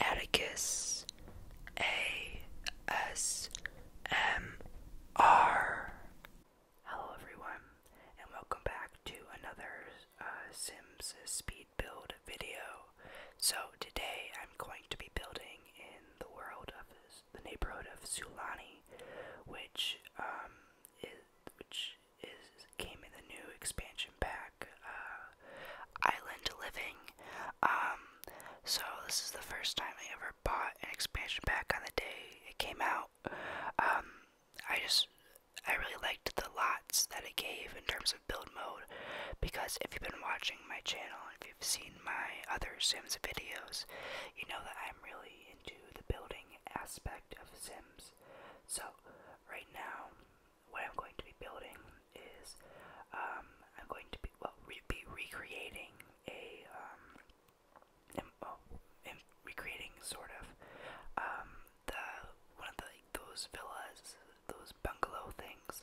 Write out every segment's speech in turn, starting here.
Atticus A S M R. Hello, everyone, and welcome back to another uh, Sims speed build video. So, today I'm going to be building in the world of the neighborhood of Sulani, which, um, is, which is came in the new expansion pack uh, island living. Um, so this is the first time I ever bought an expansion pack on the day it came out. Um, I just I really liked the lots that it gave in terms of build mode because if you've been watching my channel and if you've seen my other Sims videos, you know that I'm really into the building aspect of Sims. So right now what I'm going to be building is um, I'm going to be well be recreating a um, oh, recreating sort of um, the one of the those villas, those bungalow things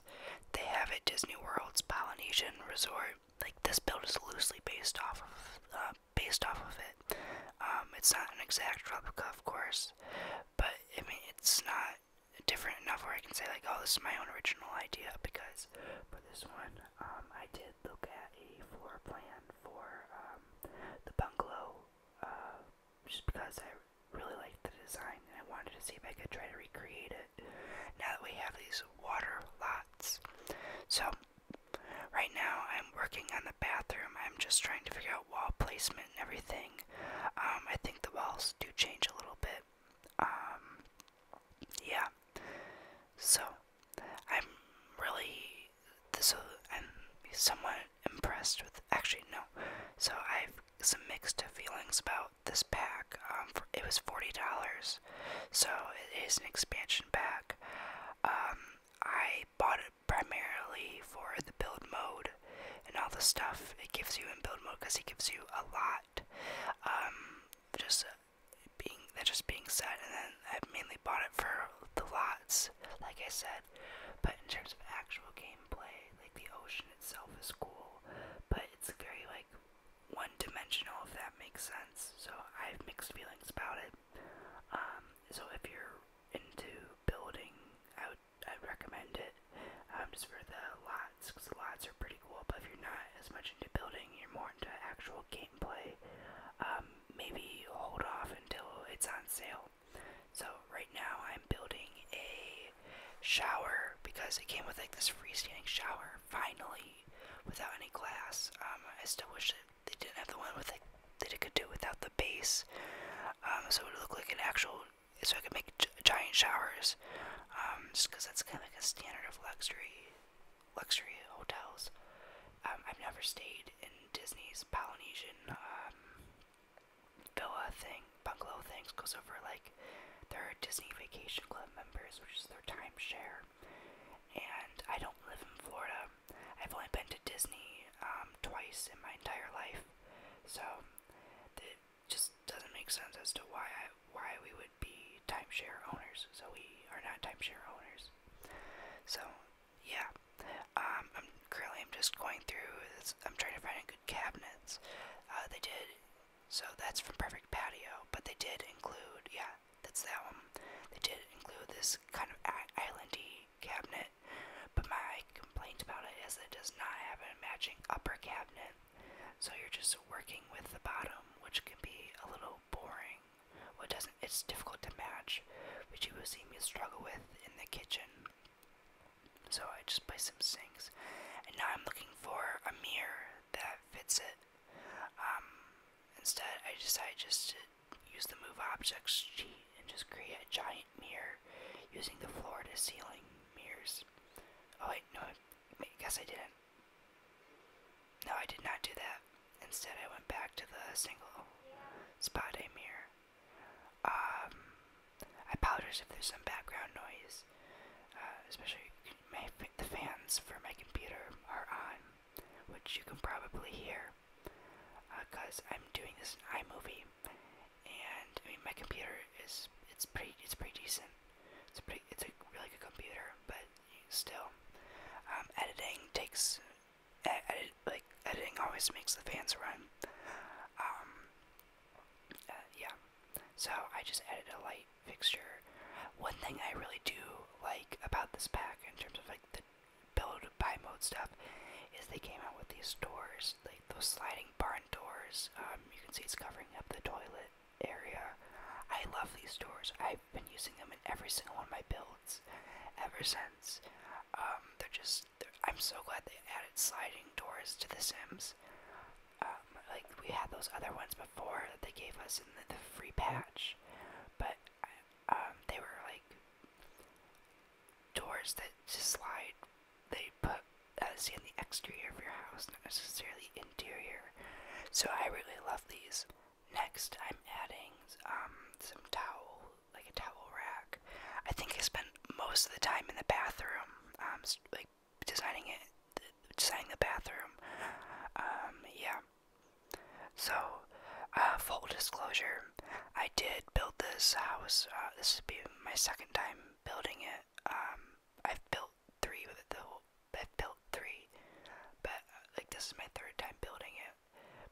they have at Disney World's Polynesian Resort. Like this build is loosely based off of uh, based off of it. Um, it's not an exact replica, of course, but I mean it's not different enough where I can say like, oh, this is my own original idea because for this one, um, I did look at a floor plan for um, the bungalow uh, just because I really liked the design and I wanted to see if I could try to recreate it now that we have these water lots. So right now I'm working on the bathroom. I'm just trying to figure out wall placement and everything. Um, I think the walls do change a little bit. Um, yeah. So, I'm really this. I'm somewhat impressed with. Actually, no. So I've some mixed feelings about this pack. Um, it was forty dollars, so it is an expansion pack. I bought it primarily for the build mode and all the stuff it gives you in build mode because it gives you a lot. Um, just uh, being that just being said, and then I mainly bought it for the lots, like I said. But in terms of actual gameplay, like the ocean itself is cool, but it's very like one-dimensional if that makes sense. So I have mixed feelings about it. Um, so if you're into building, I I'd recommend it. Um, just for the lots, because the lots are pretty cool, but if you're not as much into building, you're more into actual gameplay, um, maybe hold off until it's on sale. So, right now, I'm building a shower because it came with like this freestanding shower, finally, without any glass. Um, I still wish that they didn't have the one with like that it could do without the base, um, so it would look like an actual so I can make giant showers, um, just because that's kind of like a standard of luxury, luxury hotels. Um, I've never stayed in Disney's Polynesian um, villa thing, bungalow things, Goes over like their Disney Vacation Club members, which is their timeshare. And I don't live in Florida. I've only been to Disney twice in my entire life, so it just doesn't make sense as to why I, why we would be timeshare owners. So we are not timeshare owners. So yeah, um, I'm currently I'm just going through. This, I'm trying to find good cabinets. Uh, they did. So that's from Perfect Patio, but they did include yeah, that's that one. They did include this kind of islandy cabinet but my complaint about it is it does not have a matching upper cabinet, so you're just working with the bottom, which can be a little boring. What doesn't it's difficult to match, which you will see me struggle with in the kitchen. So I just placed some sinks, and now I'm looking for a mirror that fits it. Um, instead, I decided just to use the move objects cheat and just create a giant mirror using the floor to ceiling mirrors. Oh wait, no, I guess I didn't. No, I did not do that. Instead, I went back to the single spot a mirror. Um, I apologize if there's some background noise, uh, especially my, the fans for my computer are on, which you can probably hear because uh, I'm doing this in iMovie and I mean my computer is it's pretty it's pretty decent. It's a pretty it's a really good computer, but still, um, editing takes edit, like editing always makes the fans run. Um, uh, yeah, so I just added a light fixture. One thing I really do like about this pack in terms of like the build buy mode stuff is they came out with these doors like those sliding barn doors. Um, you can see it's covering up the toilet area. I love these doors. I've been using them in every single one of my builds ever since. Um, they're just. They're, I'm so glad they added sliding doors to The Sims. Um, like we had those other ones before that they gave us in the, free patch, but they were like doors that just slide they put uh, in the exterior of your house, not necessarily interior. So I really love these. Next, I'm adding um some towel, like a towel rack. I think I spent most of the time in the bathroom, um, like designing it, designing the bathroom. Um, yeah. So, uh, full disclosure, I did build this house. Uh, this would my second time building it. Um, I've built three with the whole, I've built three, but like this is my third time building it.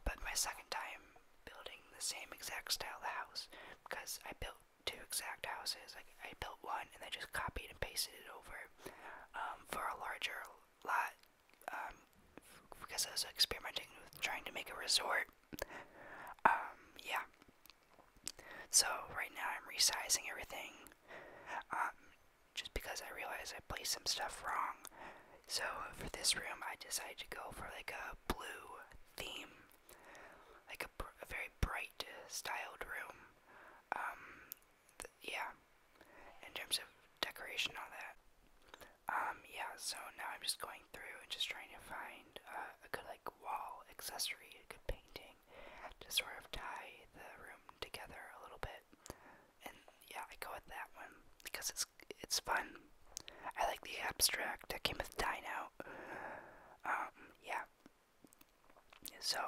But my second time building the same exact style of house because I built two exact houses. Like I built one and I just copied and pasted it over um, for a larger lot um, because I was experimenting with trying to make a resort um, yeah. So right now I'm resizing everything. Um, just because I realized I placed some stuff wrong. So for this room, I decided to go for like a blue theme, like a, very bright styled room. Um, yeah, in terms of decoration, all that. Um, yeah, so now I'm just going through and just trying to find uh, a good, like, wall accessory, a good painting to sort of tie the room together a little bit. And yeah, I go with that one because it's it's fun. I like the abstract that came with Dino. Um, yeah. So,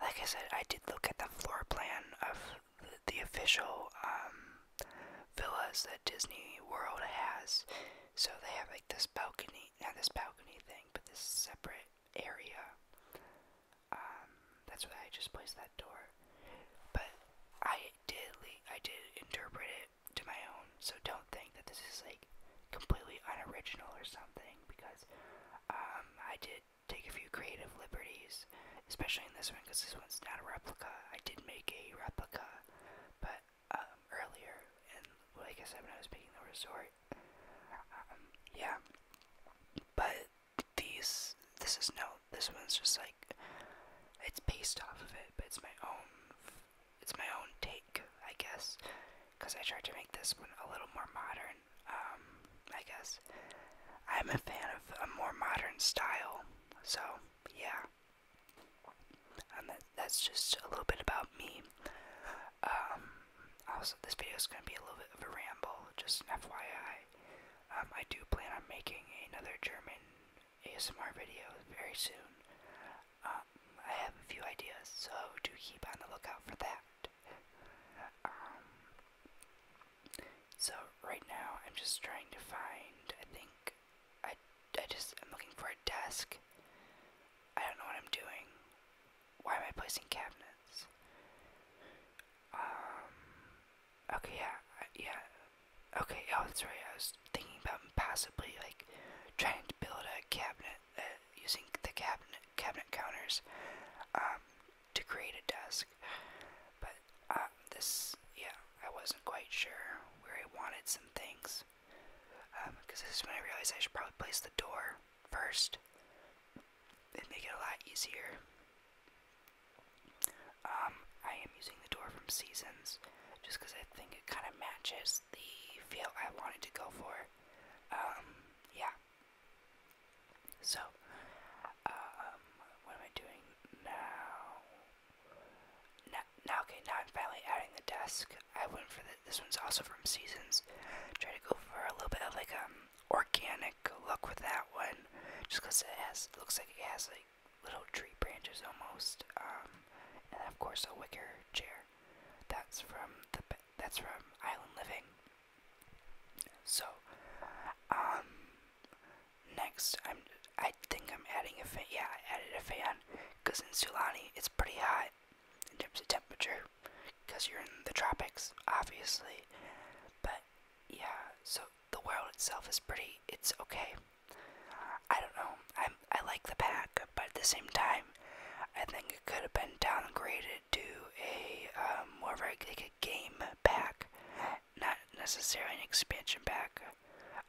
like I said, I did look at the floor plan of the, the official um, villas that Disney World has. So they have like this balcony, not this balcony thing, but this separate area. Um, that's why I just placed that door. But I did, I did interpret it to my own. So don't think that this is like completely unoriginal or something, because um, I did take a few creative liberties, especially in this one, because this one's not a replica. I did make a replica, but um, earlier, and like I said when I was picking the resort, um, yeah. But these, this is no, this one's just like, it's based off of it, but it's my own, it's my own take, I guess, because I tried to make this one a little more modern, um, I guess. I'm a fan of a more modern style, so yeah and that's just a little bit about me. Um, also, this video is going to be a little bit of a ramble, just an FYI. Um, I do plan on making another German ASMR video very soon. Um, I have a few ideas, so do keep on the lookout for that. so right now I'm just trying to find, I think, like, I, I just am looking for a desk. I don't know what I'm doing. Why am I placing cabinets? Um, okay, yeah, yeah. Okay, oh, that's right. I was thinking about possibly, like, trying to build a cabinet uh, using the cabinet cabinet counters um, to create a desk. But uh, this, yeah, I wasn't quite sure where I wanted some things. Because um, this is when I realized I should probably place the door first. It'd make it a lot easier. Um, I am using the door from Seasons just because I think it kind of matches the feel I wanted to go for. Um, yeah. So, um, what am I doing now? Now, okay, now I'm finally adding the desk. I went for this one's also from Seasons. Try to go for a little bit of like um organic look with that one, just because it has looks like it has like little tree branches almost. Um, and of course a wicker chair. That's from the that's from Island Living. So, um, Next, I'm I think I'm adding a fan. Yeah, I added a fan because in Sulani it's pretty hot in terms of temperature because you're in the tropics, obviously. But yeah, so the world itself is pretty. It's okay. I don't know. i I like the pack, but at the same time, I think it could have been downgraded to a um, more of like a game pack, not necessarily an expansion pack.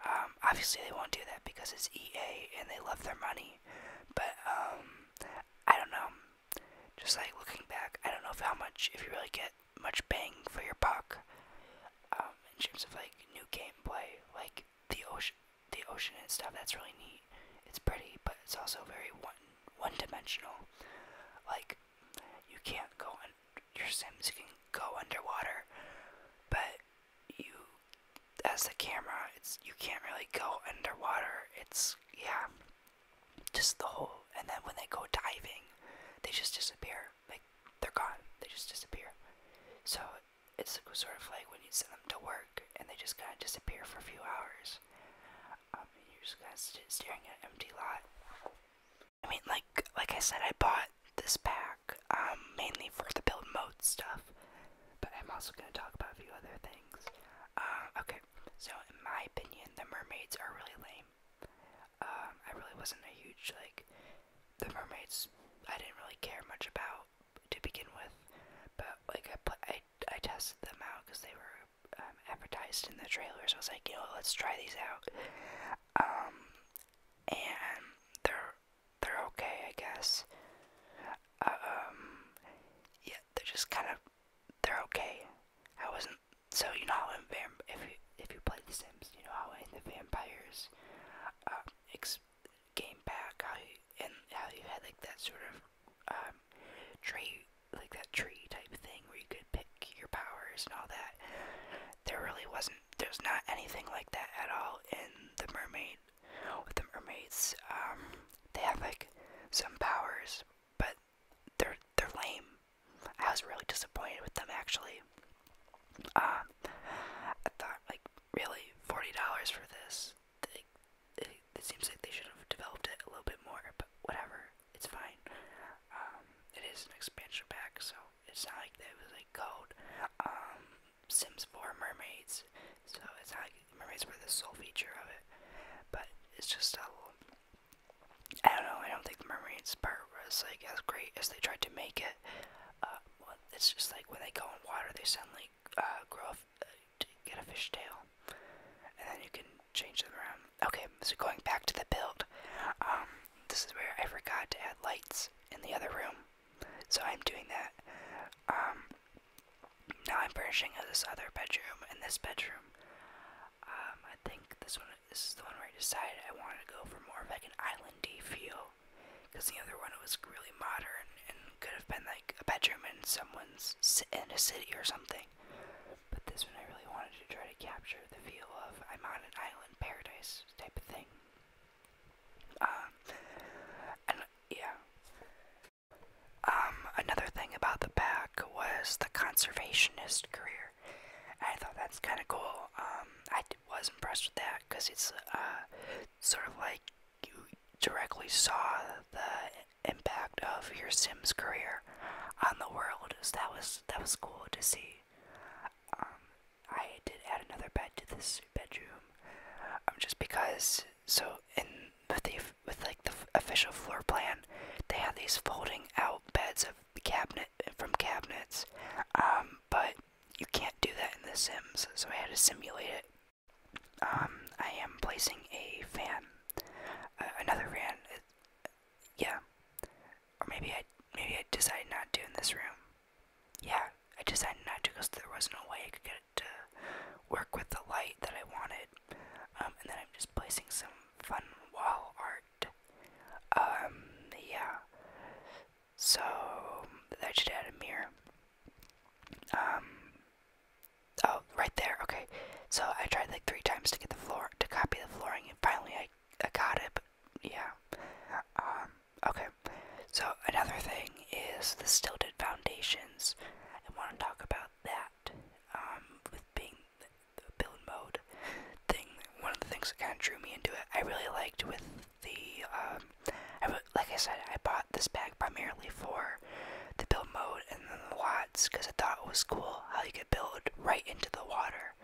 Um, obviously, they won't do that because it's EA and they love their money. But um, I don't know. Just like looking back, I don't know how much, if you really get much bang for your buck um, in terms of like new gameplay, like the ocean, the ocean and stuff. That's really neat. It's pretty, but it's also very one one dimensional. Like you can't go on your Sims can go underwater, but you as a camera it's you can't really go underwater it's yeah just the whole and then when they go diving they just disappear like they're gone they just disappear so it's sort of like when you send them to work and they just kind of disappear for a few hours um, you're just kind of staring at an empty lot I mean, like like I said, I bought this pack um, mainly for the build mode stuff, but I'm also gonna talk about a few other things. Uh, okay, so in my opinion, the mermaids are really lame. Um, I really wasn't a huge like the mermaids. I didn't really care much about to begin with, but like I put I I tested them out because they were um, advertised in the trailers. So I was like, you know, let's try these out. Um, and they're they're okay, I guess. Uh, um, yeah, they're just kind of they're okay. I wasn't so you know how in if you if you play The Sims, you know how in the vampires uh, game back how and how you had like that sort of um tree like that tree type thing where you could pick your powers and all that. There really wasn't there's not anything like that at all in the mermaid. With the mermaids, um, they have like some powers, but they're they're lame. I was really disappointed with them actually. Uh, I thought like really forty dollars for this. It, seems like they should have developed it a little bit more, but whatever, it's fine. Um, it is an expansion pack, so it's not like there was like called um, Sims 4 Mermaids, so it's not mermaids were the sole feature of it, but it's just a um, little, I don't know, I don't think the mermaids part was like as great as they tried to make it. Uh, it's just like when they go in water, they suddenly uh, grow uh, get a fish tail, and then you can change them around. Okay, so going back to the build, um, this is where I forgot to add lights in the other room, so I'm doing that. Um, now I'm furnishing this other bedroom and this bedroom. Um, I think this one, this is the one where I decided I wanted to go for more of like an islandy feel, because the other one was really modern and could have been like a bedroom in someone's in a city or something. But this one I really wanted to try to capture the feel of I'm on an island paradise type of thing. Um, and yeah. Um, another thing about the pack was the conservationist career. I thought that was kind of cool. Um, I was impressed with that because it's uh, sort of like you directly saw the impact of your Sims career on the world. So that was that was cool to see. Um, I did add another bed to this bedroom, um, just because. So in with the with like the official floor plan, they have these folding out beds of cabinet from cabinets, um, but you can't do that in The Sims, so I had to simulate it. Um, I am placing a fan, uh, another fan. Uh, yeah, or maybe I maybe I decided not to in this room yeah, I decided not to because there was no way I could get it to work with the light that I wanted. Um, and then I'm just placing some fun wall art. Um, yeah. So, I should add a mirror. Um, oh, right there, okay. So I tried like three times to get the floor, to copy the flooring, and finally I, I got it, but yeah. Um, Okay, so another thing is the stilted foundations. I want to talk about that um, with being the build mode thing. One of the things that kind of drew me into it, I really liked with the, um, I, like I said, I bought this pack primarily for the build mode and then the lots because I thought it was cool how you could build right into the water.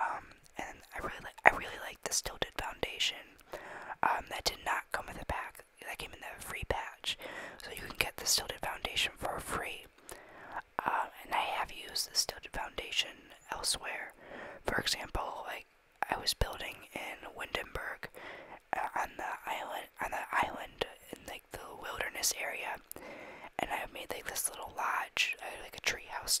Um, and I really like I really like this tilted foundation. Um, that did not come with a pack. That came in the free patch, so you can get the tilted foundation for free. Uh, and I have used this tilted foundation elsewhere. For example, like I was building in Windenburg uh, on the island on the island in like the wilderness area, and I have made like this little lodge, uh, like a treehouse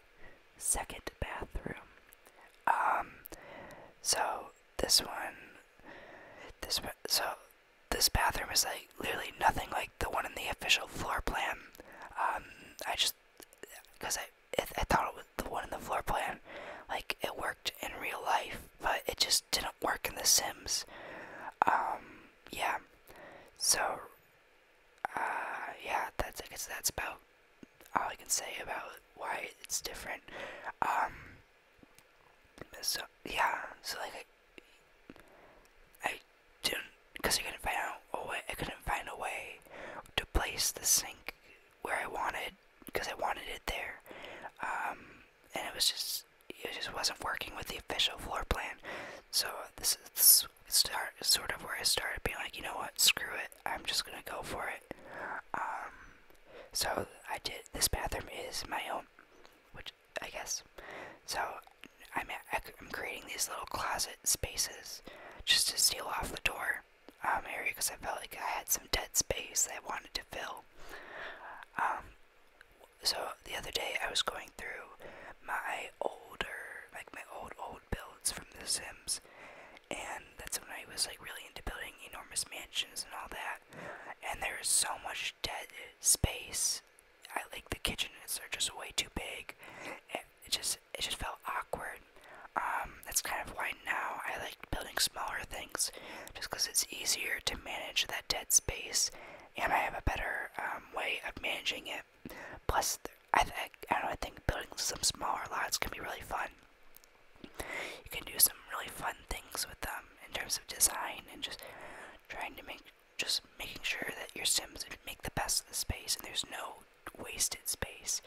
second bathroom. Um, so this one, this one. so this bathroom is like literally nothing like the one in the official floor plan. Um, I just because I I, I thought it was the one in the floor plan, like it worked in real life, but it just didn't work in The Sims. Um, yeah. So, uh, yeah, that's I guess that's about all I can say about why it's different. Um, so yeah, so like I, didn't because I couldn't find out a way. I couldn't find a way to place the sink where I wanted because I wanted it there. Um, and it was just it just wasn't working with the official floor plan. So this is this start sort of where I started being like, you know what, screw it. I'm just gonna go for it. Um, so I did. This bathroom is my own, which I guess. So I'm I'm creating these little closet spaces just to seal off the door um, area because I felt like I had some dead space that I wanted to fill. Um, so the other day I was going through my older, like my old old building from The Sims, and that's when I was like really into building enormous mansions and all that. And there is so much dead space. I like the kitchens are just way too big. It, just it just felt awkward. Um, that's kind of why now I like building smaller things, just because it's easier to manage that dead space, and I have a better um, way of managing it. Plus, I think I don't I think building some smaller lots can be really fun. You can do some really fun things with them in terms of design and just trying to make just making sure that your sims make the best of the space and there's no wasted space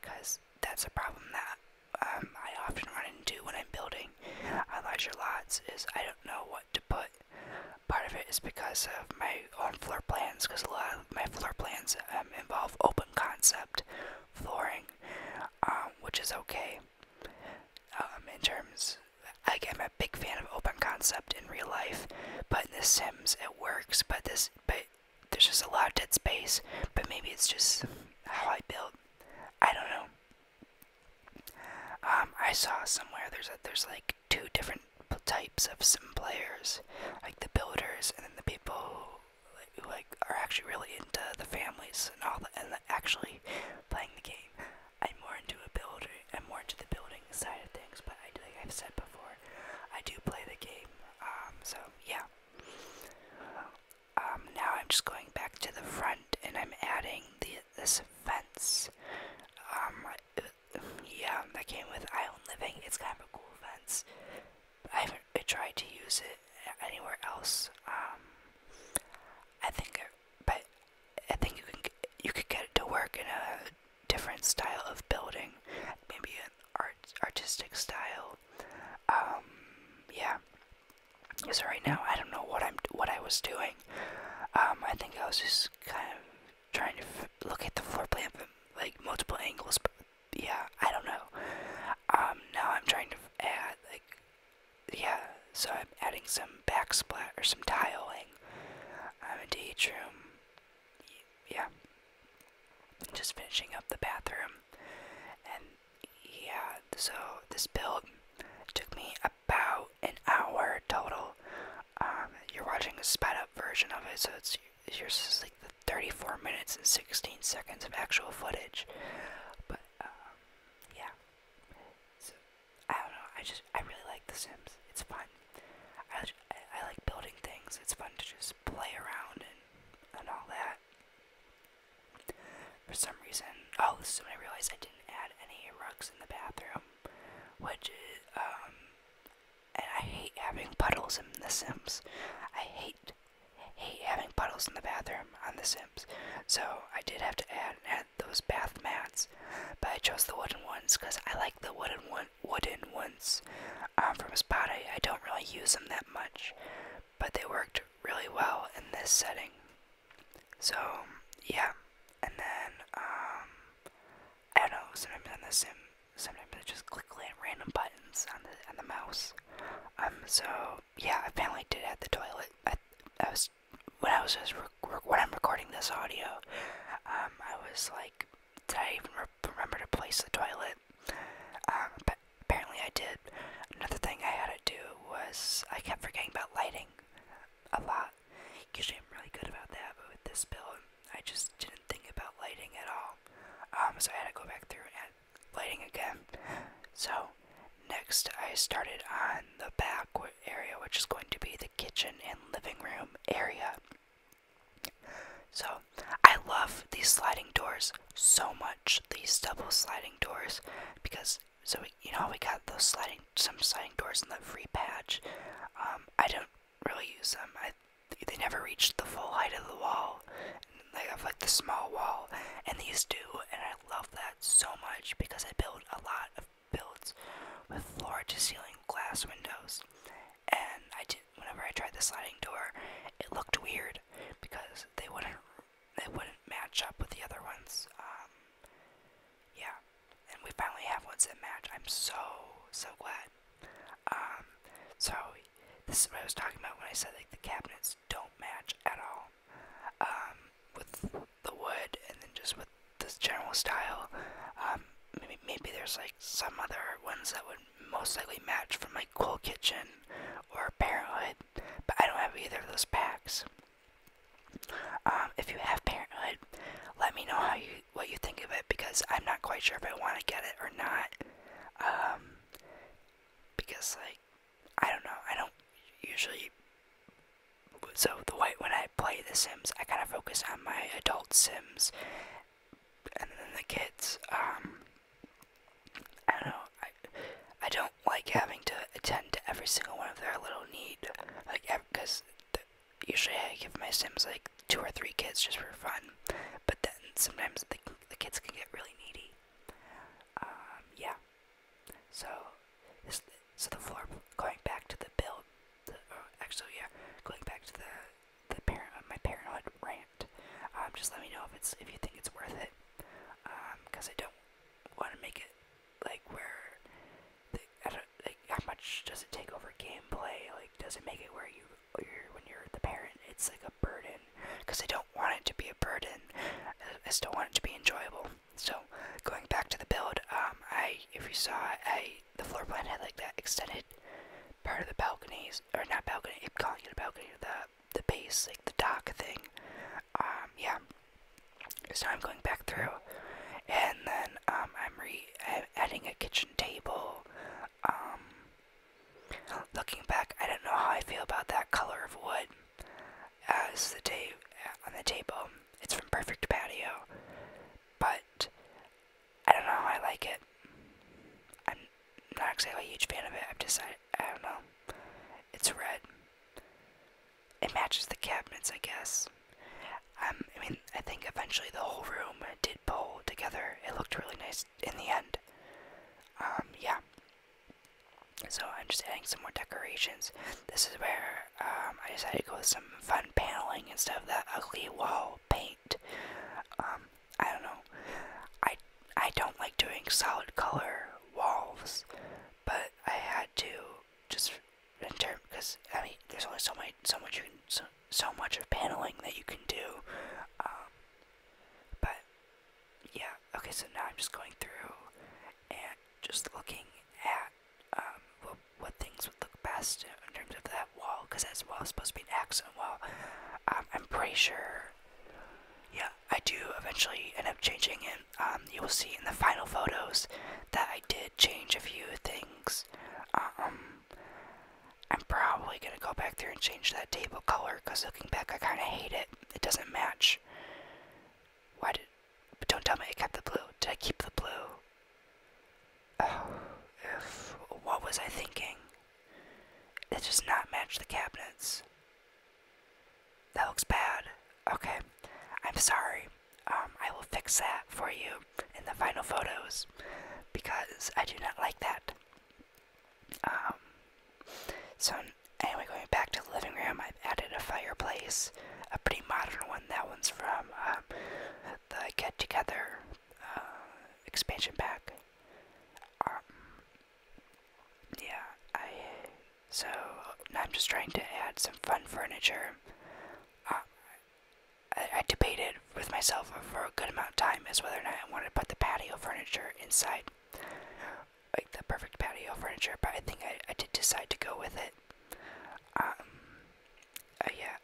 because that's a problem that um, I often run into when I'm building on uh, larger lots is I don't know what to put. Part of it is because of my on floor plans because a lot of my floor plans um, involve open concept flooring, um, which is okay. Um, in terms, I'm a big fan of open concept in real life, but in The Sims it works. But this, but there's just a lot of dead space. But maybe it's just how I built. I don't know. I saw somewhere there's a, there's like two different types of sim players builders, like the builders, and then the people who like are actually really into the families and all the, and the actually playing the game. I'm more into a builder. I'm more into the building side of things. But I, like I've said before, I do play the game. Um, so yeah. Um, now I'm just going back to the front, and I'm adding the this fence. Um, yeah, that came with Island Living. It's kind of a cool fence. I haven't tried to use it anywhere else. Um, I think, but I think you can you could get it to work in a different style of building, maybe an art artistic style. Um, yeah. So right now I don't know what I'm what I was doing. Um, I think I was just kind of trying to look at the floor plan from like multiple angles, but yeah, I don't know. Um, now I'm trying to add, like, yeah, so I'm adding some backsplat or some tiling um, into each room. Yeah. Just finishing up the bathroom. And yeah, so this build took me about an hour total. Um, you're watching a sped up version of it, so it's here's like the 34 minutes and 16 seconds of actual footage. But um, yeah, so I don't know. I just I really like The Sims. It's fun. I I like building things. It's fun to just play around and and all that. For some reason, oh, this I realized I didn't add any rugs in the bathroom, which um and I hate having puddles in The Sims. I hate hate having puddles in the bathroom on The Sims. So I did have to add, add those bath mats, but I chose the wooden ones because I like the wooden one wooden ones um, from Spot. I, I don't really use them that much, but they worked really well in this setting. So yeah, and then um, I don't know, sometimes on the sim, sometimes I just click random buttons on the, on the mouse. Um, so, yeah, I finally did add the toilet. I, I was, when I was just, when I'm recording this audio, um, I was like, did I even remember to place the toilet? Um, but apparently I did. Another thing I had to do was, I kept forgetting about lighting a lot. Usually I'm really good about that, but with this build, I just didn't think about lighting at all. Um, so I had to go back through and add lighting again. So next I started on the back area, which is going to be the kitchen and living room area. So I love these sliding doors so much. These double sliding doors because so you know we got those sliding some sliding doors in the free patch. Um, I don't really use them. I, they never reached the full height of the wall. They have like the small wall, and these do, and I love that so much because I built a lot of builds with floor to ceiling glass windows. And I did whenever I tried the sliding door, it looked weird because they wouldn't they wouldn't match up with the other ones. Um, yeah, and we finally have ones that match. I'm so so glad. Um, so this is what I was talking about when I said like the cabinets don't match at all. Um, with the wood and then just with the general style. Um, maybe maybe there's like some other ones that would most likely match for my Cool Kitchen or Parenthood, but I don't have either of those packs. Um, if you have Parenthood, let me know how you what you think of it because I'm not quite sure if I want to get it or not. Um, because like I don't know, I don't usually. So the way when I play The Sims, I kind of focus on my adult Sims, and then the kids. Um, I don't know. I I don't like having to attend to every single one of their little need, like because usually I give my Sims like two or three kids just for fun. But then sometimes the, the kids can get really needy. Um, yeah. So this so the floor going back to the bill. Uh, actually, yeah, going back to the the parent uh, my parenthood rant. Um, just let me know if it's if you think it's worth it. Um, cause I don't want to make it like where I don't like how much does it take over gameplay? Like, does it make it where you when you're the parent, it's like a burden because I don't want it to be a burden. I still want it to be enjoyable. So going back to the build, um, I if you saw, I the floor plan had like that extended part of the balconies, or not balcony. I'm calling it a balcony. The the base, like the dock thing. Um, yeah. So I'm going back through, and then um, I'm re I'm adding a kitchen table. Um, looking back, I don't know how I feel about that color of wood as the tape on the table. It's from Perfect Patio, but I don't know how I like it. I'm not exactly a huge fan of it. i am just I don't know. It's red. It matches the cabinets, I guess. Um, I mean, I think eventually the whole room did pull together. It looked really nice in the end. Um, yeah. So I'm just adding some more decorations. This is where um, I decided to go with some fun paneling instead of that ugly wall paint. Um, I don't know. I I don't like doing solid color walls, but I had to just enter because I mean there's only so many so much you can so, so much of paneling that you can do. Um, but yeah, okay, so now I'm just going through and just looking at um, what, what things would look best in terms of that wall, because that wall is supposed to be an accent wall. Um, I'm pretty sure, yeah, I do eventually end up changing it. you will see in the final photos that I did change a few things. I'm probably gonna go back there and change that table color because looking back, I kind of hate it. It doesn't match. Why did. But don't tell me I kept the blue. Did I keep the blue? Oh, if, what was I thinking? It does not match the cabinets. That looks bad. Okay, I'm sorry. Um, I will fix that for you in the final photos because I do not like that. Um, so, anyway, going back to the living room, I've added a fireplace, a pretty modern one. That one's from um, the Get Together uh, expansion pack. Um, yeah, I. So, I'm just trying to add some fun furniture. Uh, I, debated with myself for a good amount of time as whether or not I wanted to put the patio furniture inside, like the perfect patio furniture. But I think I, I did decide to go with it. Um, uh, yeah,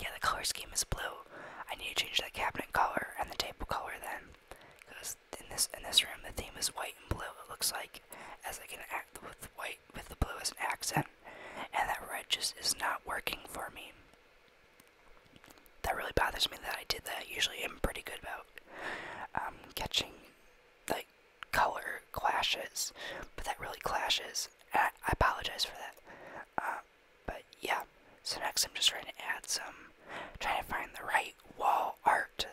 yeah. The color scheme is blue. I need to change the cabinet color and the table color then, because in this in this room the theme is white and blue. It looks like as I can act with white with the blue as an accent and that red just is not working for me. That really bothers me that I did that. Usually I'm pretty good about um, catching like color clashes, but that really clashes. I, I apologize for that. Uh, but yeah, so next I'm just trying to add some, trying to find the right wall art.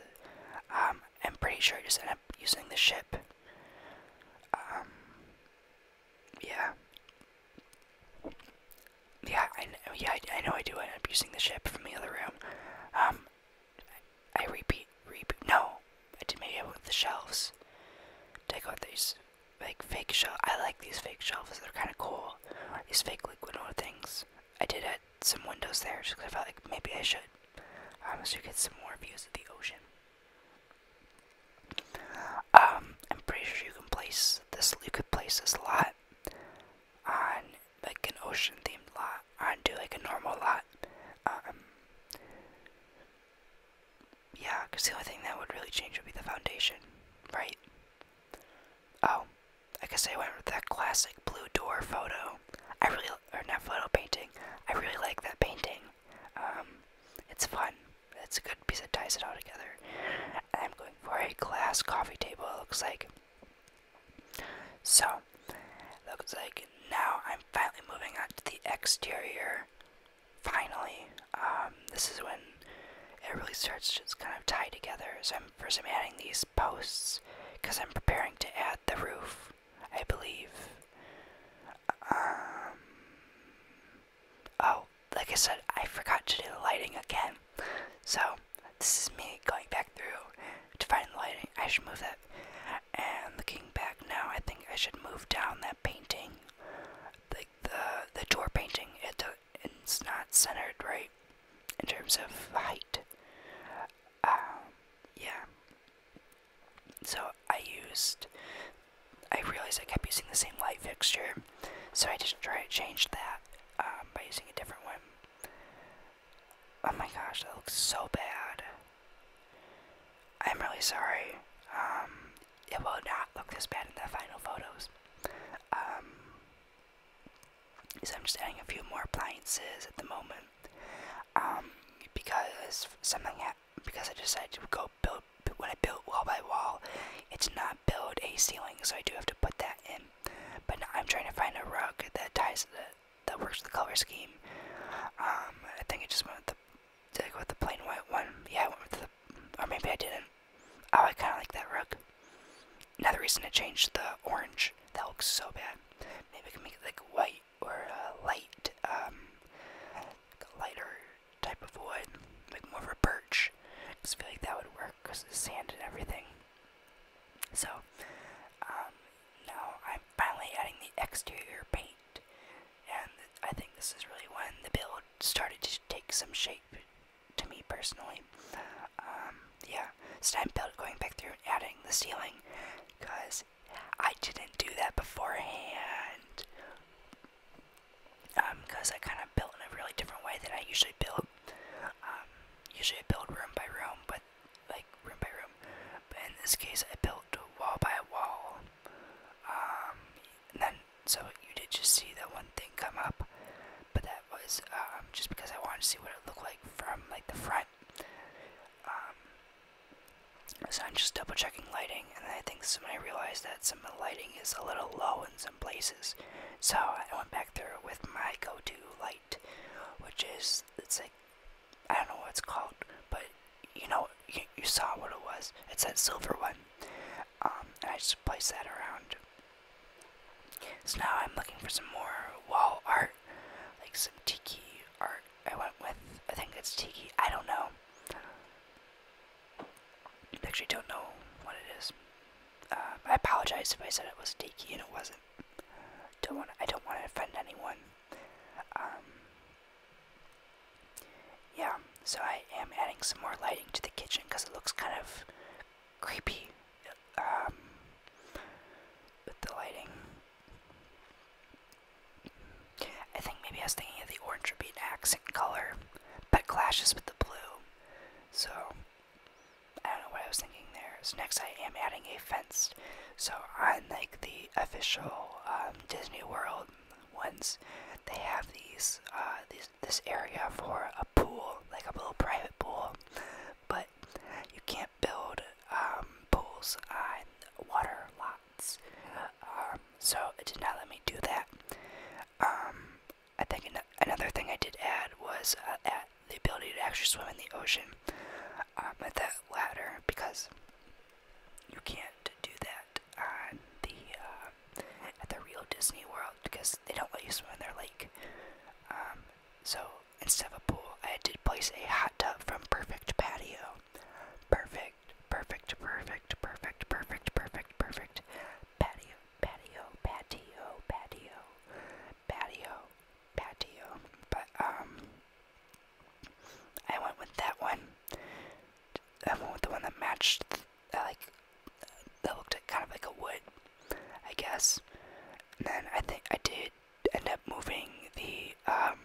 Um, I'm pretty sure I just end up using the ship. Um, yeah. Yeah, I, yeah, I, know I do I'm abusing the ship from the other room. Um, I, repeat, repeat, no, I did maybe I with the shelves. Take out these, like, fake shelves. I like these fake shelves, they're kind of cool. These fake liquid oil things. I did add some windows there just because I felt like maybe I should. I um, so to get some more views of the ocean. Um, I'm pretty sure you can place this. You could place this lot on like an ocean themed lot do like a normal lot. Um, yeah, because the only thing that would really change would be the foundation, right? Oh, I guess I went with that classic blue door photo. I really, or not photo painting. I really like that painting. Um, it's fun. It's a good piece that ties it all together. I'm going for a glass coffee table, it looks like. So, looks like now I'm finally moving on to the exterior. Finally, um, this is when it really starts to just kind of tie together. So, first I'm adding these posts because I'm preparing to add the roof, I believe. Um, oh, like I said, I forgot to do the lighting again. So, this is me going back through to find the lighting. I should move that. And looking back now, I think I should move down that painting. Like the, the door painting, it, it's not centered right in terms of height. Um, yeah. So I used. I realized I kept using the same light fixture, so I just tried to change that um, by using a different one. Oh my gosh, that looks so bad. I'm really sorry. Um, it will not look this bad in the final photos. Um, so I'm just adding a few more appliances at the moment. because something because I decided to go build when I built wall by wall. It's not build a ceiling, so I do have to put that in. But I'm trying to find a rug that ties the that works with the color scheme. Um, I think I just went with the did with the plain white one? Yeah, I went with the or maybe I didn't. Oh, I kind of like that rug. Another reason to change the orange. That looks so bad. Maybe I can make it like white light or a light, um, lighter type of wood, like more of a birch. Cause feel like that would work because the sand and everything. So, um, now I'm finally adding the exterior paint, and I think this is really when the build started to take some shape to me personally. Um, yeah, so I'm build going back through and adding the ceiling because I didn't do that beforehand because um, I kind of built in a really different way than I usually build. Um, usually I build room by room, but like room by room. But in this case, I built wall by wall. Um, then so you did just see that one thing come up, but that was um, just because I wanted to see what it looked like from like the front. Um, so I'm just double checking lighting, and I think somebody realized that some of the lighting is a little low in some places. So I went back there with my go-to light, which is it's like I don't know what it's called, but you know you, you saw what it was. It's that silver one, um, and I just placed that around. So now I'm looking for some more wall art, like some tiki art. I went with I think it's tiki. I don't know. Actually, don't know what it is. Uh, I apologize if I said it was Tiki and it wasn't. Don't want. I don't want to offend anyone. Um, yeah. So I am adding some more lighting to the kitchen because it looks kind of creepy. Um, with the lighting. I think maybe I was thinking of the orange would be an accent color, but clashes with the blue. So I don't know what I was thinking there. So next I am adding a fence. So on like the official um, Disney World ones, they have uh, these this area for a pool, like a little private pool, but you can't build um, pools on water lot um, so it did not let me do that. Um, I think another thing I did add was uh, the ability to actually swim in the ocean um, with that ladder because you can't do that on the uh, at the real Disney World because they don't let you swim in their lake. Um, so instead of a pool, I did place a hot tub from Perfect Patio Perfect, perfect, perfect, perfect, perfect, perfect, perfect. Patio, patio, patio, patio, patio, patio. But, um, I went with that one. I went with the one that matched, that uh, like, that looked like, kind of like a wood, I guess. And then I think I did end up moving the, um,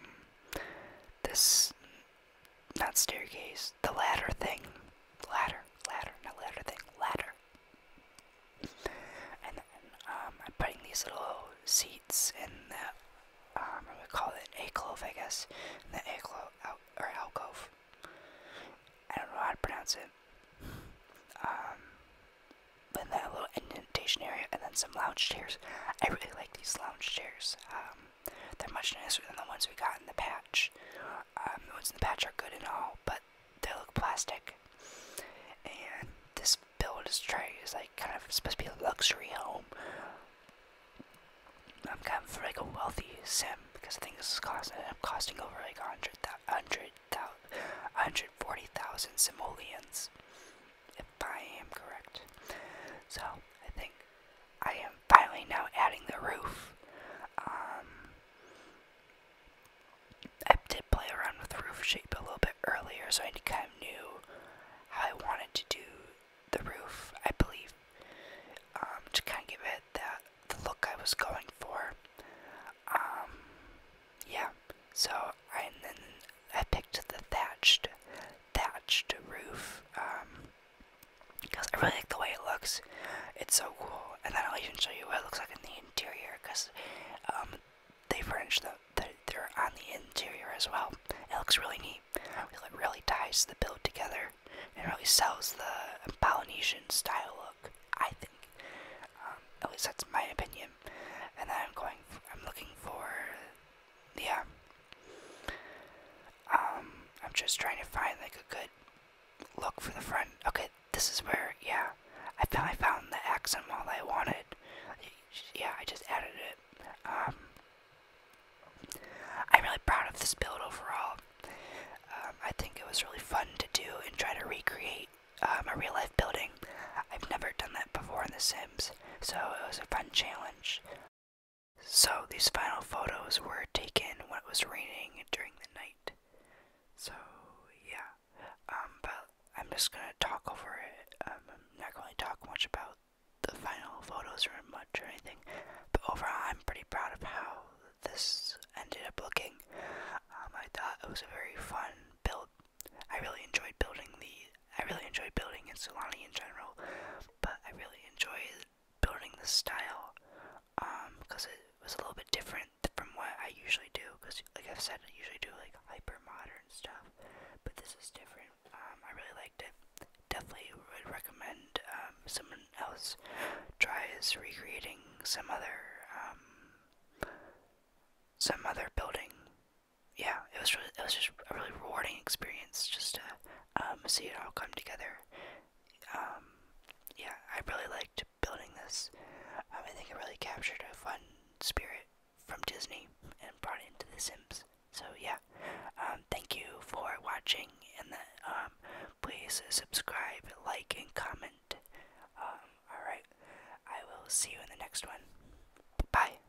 this not staircase, the ladder thing. Ladder, ladder, not ladder thing, ladder. And then um, I'm putting these little seats in the, um, I call it an alcove, I guess. the alcove, or alcove. I don't know how to pronounce it. Um, then that little indentation area, and then some lounge chairs. I really like these lounge chairs. Um, they're much nicer than the ones we got in the patch. Um, the ones in the patch are good and all, but they look plastic. And this build is trying is like kind of supposed to be a luxury home. I'm kind of like a wealthy sim because I think this is costing I'm costing over like a hundred hundred thousand hundred forty thousand simoleons. I am correct. So I think I am finally now adding the roof. Um, I did play around with roof shape a little bit earlier, so I kind of knew how I wanted to do the roof, I believe, um, to kind of give it that the look I was going for. Um, yeah, so I, and I picked the thatched, thatched roof because um, I really like the way it looks. It's so cool, and I'll even show you what it looks like in the interior because um, they furnish the, they're on the interior as well. It looks really neat. It really ties the build together and really sells the Polynesian style look. I think. Um, at least that's my opinion. And I'm going. I'm looking for yeah. Um, I'm just trying to find like a good look for the front. Okay, this is where, yeah, I found, I found the accent wall I wanted. Yeah, I just added it. Um, I'm really proud of this build overall. Um, I think it was really fun to do and try to recreate um, a real life building. I've never done that before in The Sims, so it was a fun challenge. So, these final photos were taken when it was raining during the night. So, yeah. Um, but I'm just gonna talk over it. Um, I'm not gonna talk much about the final photos or much or anything. But overall, I'm pretty proud of how this ended up looking. Um, I thought it was a very fun build. I really enjoyed building the. I really enjoyed building in Solani in general but I really enjoy building this style because um, it was a little bit different from what I usually do. Because, like I've said, I usually do like hyper modern stuff, but this is different. Um, I really liked it. Definitely would recommend um, someone else tries recreating some other some other building yeah, it was really, it was just a really rewarding experience just to um, see it all come together. Um, yeah, I really liked building this. Um, I think it really captured a fun spirit from Disney and brought it into The Sims. So yeah, thank you for watching, and um, please subscribe, like, and comment. all right, I will see you in the next one. Bye.